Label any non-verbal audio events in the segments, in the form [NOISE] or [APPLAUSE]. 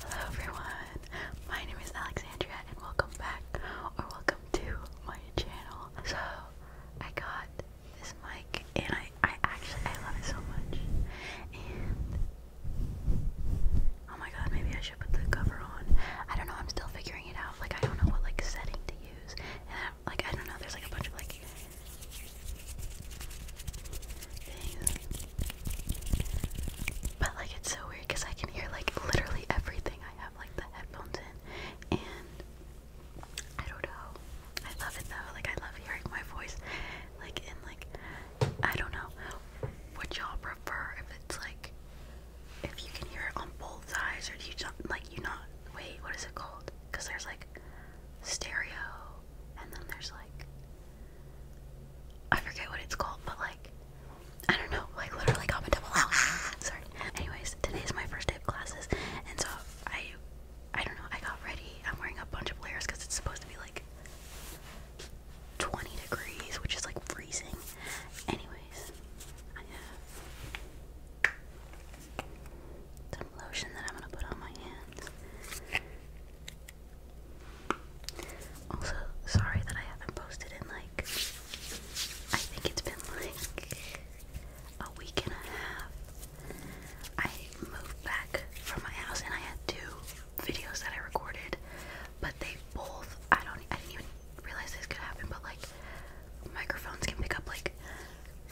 Hello everyone, my name is Alexandria and welcome back or welcome to my channel. So I got this mic and I, I actually I love it so much oh my god maybe I should put the cover on. I don't know I'm still figuring it out like I don't know what like setting to use and like I don't know there's like a bunch of like but like it's so weird because I can hear like literally everything. I have like the headphones in and I don't know. I love it though. Like I love hearing my voice. Like in like I don't know. Would y'all prefer if it's like if you can hear it on both sides or do you just like you not wait, what is it called? Because there's like stereo, and then there's like I forget what it's called, but like I don't know, like literally comment double out. Ah, sorry. Anyways, is my first day of classes, and so I I don't know. I got ready. I'm wearing a bunch of layers because it's supposed to be like 20 degrees, which is like freezing. Anyways, I have some lotion that I'm gonna put on my hands. Also, sorry that I haven't posted in like, I think it's been like a week and a half. I moved back from my house and I had two videos that I recorded, but they both, I don't, I didn't even realize this could happen, but like, microphones can pick up like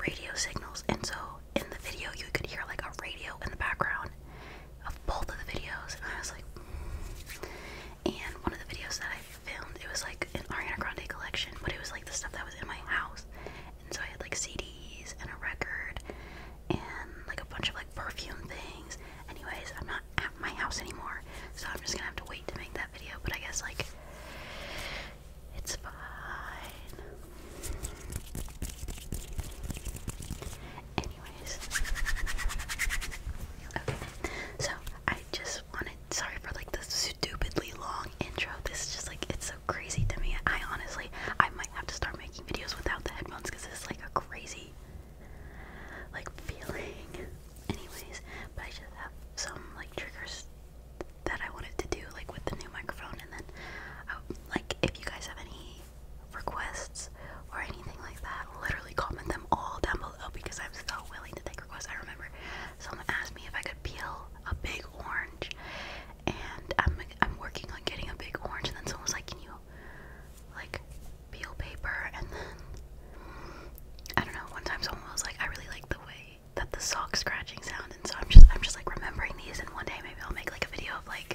radio signals, and so in the video you could hear like a radio in the background of both of the videos and I was like hmm. and one of the videos that I filmed it was like an Ariana Grande collection but it was like the stuff that was in my house and so I had like CDs and a record and like a bunch of like perfume things anyways I'm not at my house anymore so I'm just gonna have to wait to make that video but I guess like it's fine Anyways, okay. So I just wanted. Sorry for like the stupidly long intro. This is just like it's so crazy to me. I honestly, I might have to start making videos without headphones because it's like a crazy, like feeling. Anyways, but I just have some like triggers that I wanted to do like with the new microphone then oh, like if you guys have any requests or anything like that, literally comment them all down below because I'm so willing to take requests. I remember someone asked me if I could peel a big orange, and I'm I'm working on getting a big orange, and then someone was like, "Can you like peel paper?" And then I don't know. One time someone was like, "I really like the way that the sock scratching sound," and so I'm just I'm just like remembering these, and one day maybe I'll make like a video of like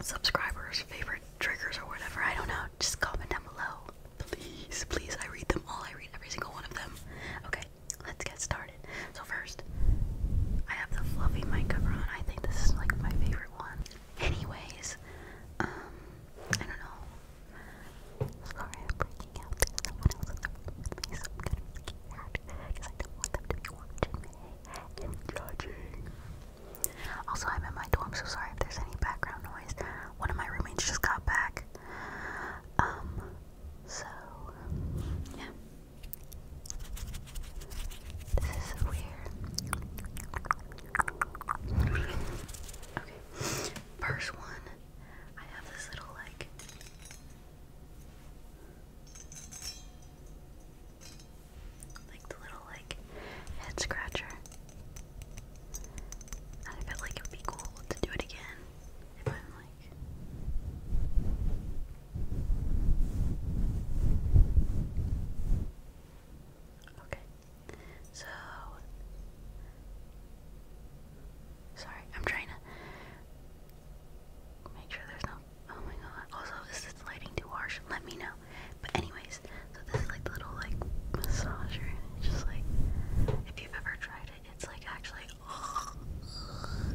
subscribers, favorite triggers, or whatever. I don't know. Just comment down below. Please, please. I read them all. I read every single one of them. Okay, let's get started. So, first, I have the fluffy mic cover on. I think this is like my favorite one. Anyways, um, I don't know. Sorry, I'm breaking out. Someone else is with me, I Also, I'm in my dorm, so sorry if there's any background noise. One of my roommates just got back. Um, so, yeah. This is weird. okay, first one, I have this little like like the little like head scratcher. I felt like it would be cool to do it again Okay. So Sorry, I'm trying to make sure there's no Oh my god. Also, is lighting too harsh? Let me know. But anyways, so this is like the little like massager. just like if you've ever tried it, it's like actually oh, [LAUGHS] oh.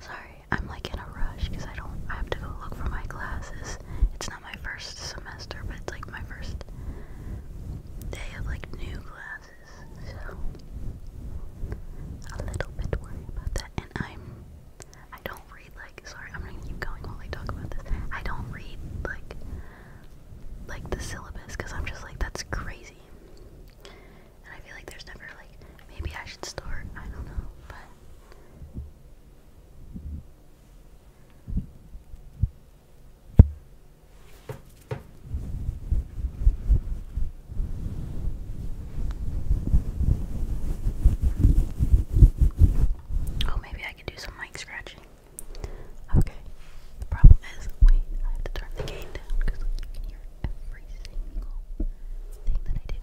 Sorry, I'm like in a rush because I don't. I have to go look for my classes. It's not my first semester, but it's like my first day of like new classes, so a little bit worried about that. And I'm. I don't read like. Sorry, I'm gonna keep going while I talk about this. I don't read like like the syllabus because I'm just like that's crazy and I feel like there's never like maybe I should start. I don't know, but. Oh, maybe I could do some mic scratching. Okay. The problem is, wait, I have to turn the gain down because I can hear every single thing that I did.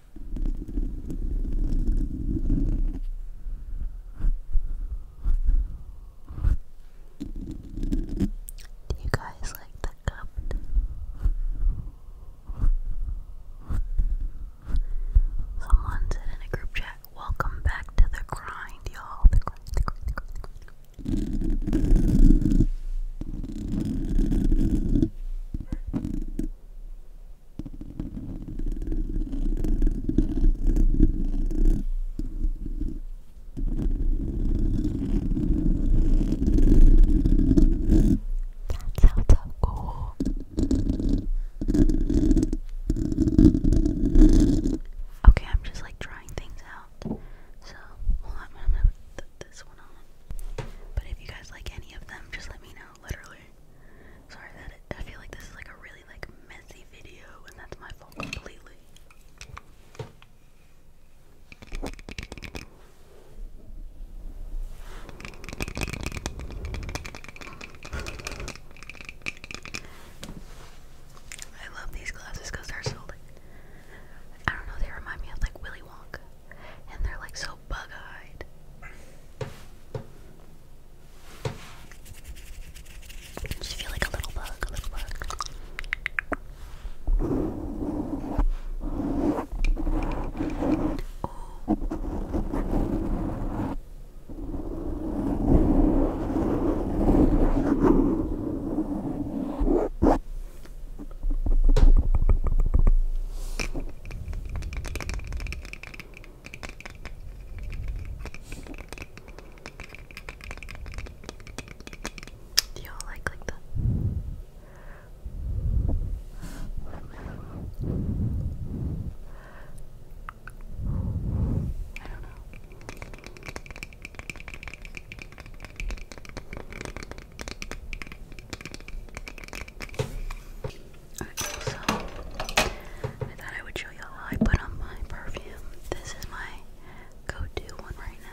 Do you guys like the cup? Someone said in a group chat, welcome back to the grind, y'all. 打草草果，Okay, I'm just like trying things out. So, I'm gonna put this one on. But if you guys like any of them, just let me know. Literally. Sorry I feel like this is like a really like messy video, and that's my fault completely. I love these glasses because they're so like I don't know, they remind me of like Willy Wonka. And they're like so bug eyed. I just feel like a little bug, a little bug. Do y'all like like that? I don't know. I I thought I would show you how I put on my perfume. This is my go-to one right now.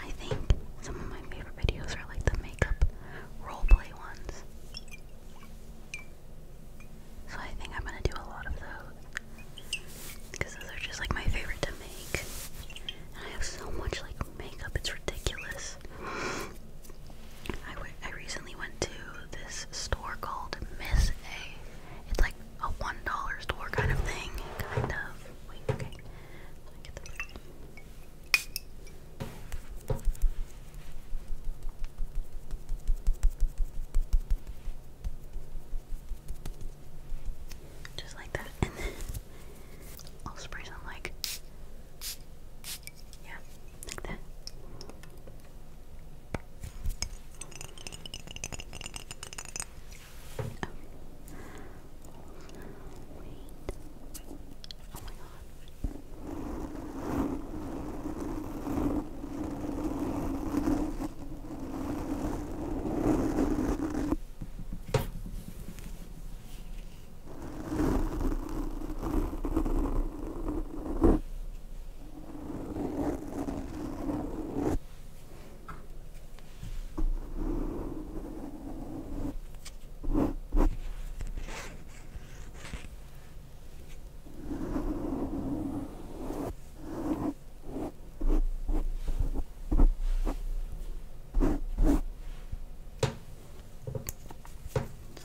I think some of my favorite videos are like the makeup roleplay ones. So I think I'm gonna do a lot of those. Because those are just like my favorite to make. And I have so much like makeup, it's ridiculous. I recently went to this store called Miss A. It's like a one dollar store kind of thing, kind of. just like that, and [LAUGHS] then I'll spray some like yeah, like that. Oh. Wait. Oh my god. Okay. It's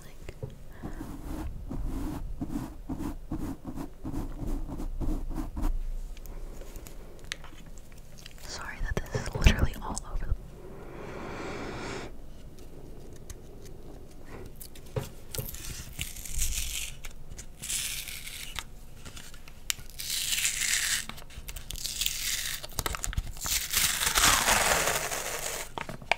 like Sorry that this is literally all over the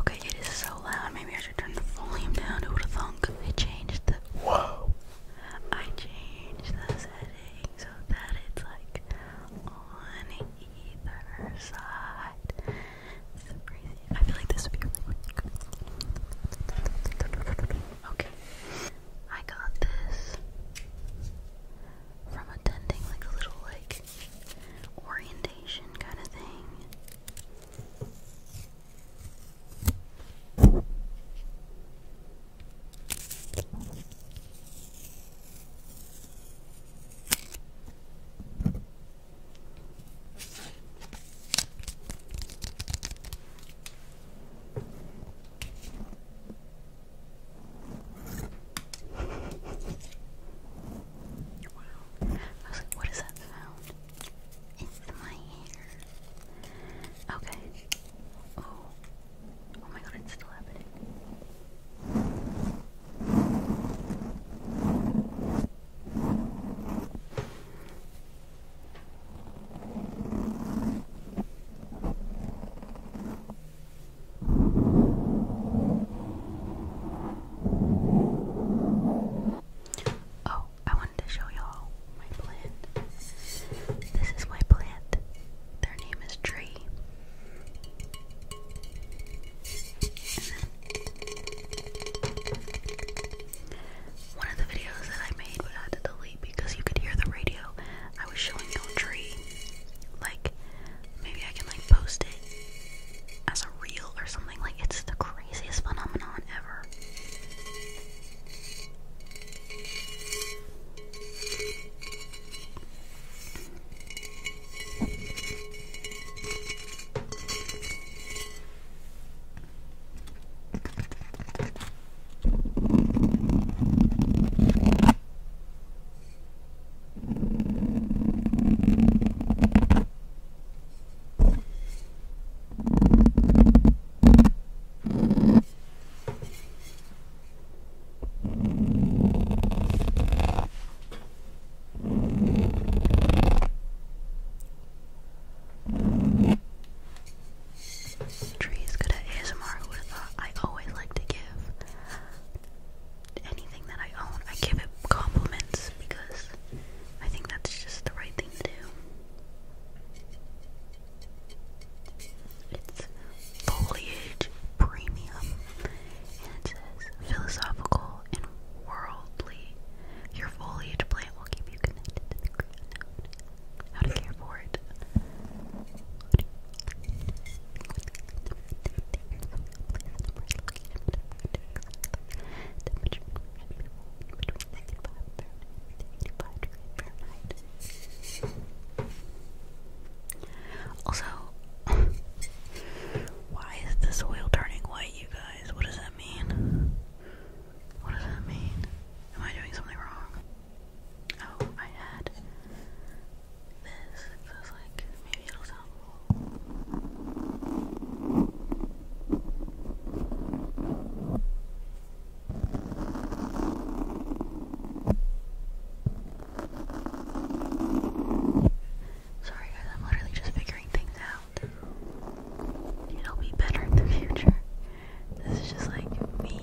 Okay, it is so loud. Maybe I should turn the volume down. Who would have thunk? I changed the. Whoa! I changed the setting so that it's like on either side. This crazy. I feel like this would be really good. Okay. I got this from attending like a little like like orientation kind of thing. I was like, what is that sound? It's my hair. Okay. Oh. Oh my god, it's still happening. Oh, I wanted to show y'all my plant. This is my plant. Their name is Tree. One of the videos that I made, I had to delete because you could hear the radio. I was showing y'all Tree, like Maybe I can like post it as a reel or something. Like it's the craziest phenomenon ever. Tree's good at ASMR, who would uh, I always like to give anything that I own, I give it compliments because I think that's just the right thing to do. It's foliage premium, and it says philosophical and worldly. Your foliage plant will keep you connected How to care for it. Also, [LAUGHS] why is the soil turning white, you guys? What does that mean? What does that mean? Am I doing something wrong? Oh, I had this. Sorry guys, I'm literally just figuring things out. It'll be better in the future. This is just like me.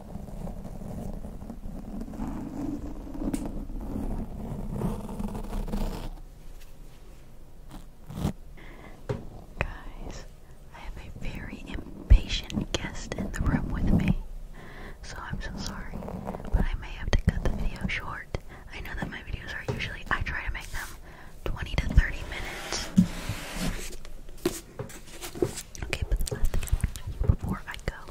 Guys, I have a very impatient guest in the room with me, so I'm so sorry, but I may have to cut the video short. I know that my videos are usually, I try to make them 20 to 30 minutes. Okay, but before I go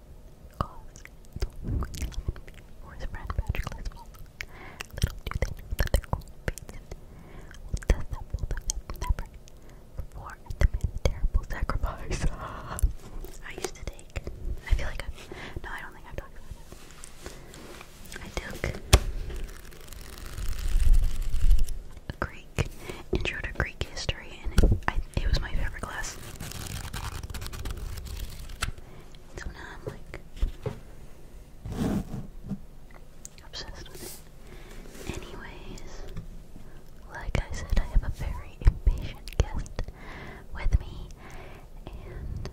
[LAUGHS] I used to take, I feel like i no I don't think I've talked I took a Greek, intro to Greek history it, was my favorite class. So now I'm like obsessed with it. Anyways, like I said, I have a very impatient guest with me, and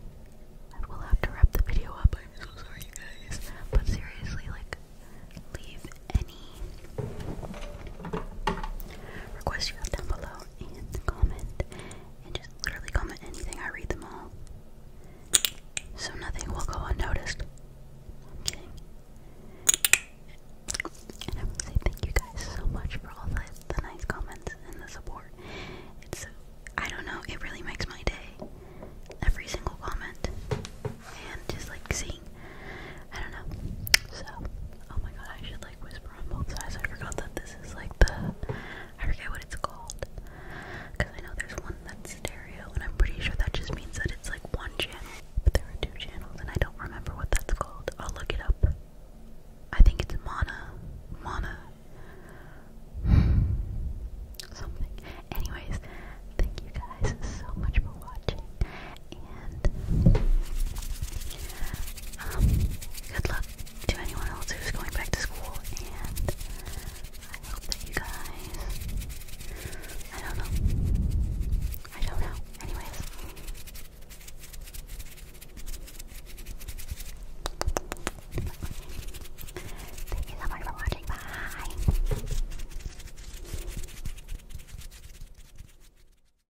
I will have to wrap the video up. I'm so sorry, guys. But seriously, like, leave any requests you have down below and comment and just literally comment anything. I read them all. So nothing will go unnoticed. And I would say thank you guys so much for all the, the nice comments and the support. It's, I don't know, it really makes my day. Every single comment. And just like seeing I don't know. So, oh my god, I should like whisper on both sides. I forgot that this is like the. I forget what it's called. Because I know there's one that's stereo, and I'm pretty sure that just means that it's like one channel. But there are two channels, and I don't remember what that's called. I'll look it up. I think it's Mana. Mana. [SIGHS] Something. Anyways, thank you guys so much for watching and um, good luck to anyone else who's going back to school, and I hope that you guys, I don't know, I don't know, anyways. Thank you so much for watching, bye!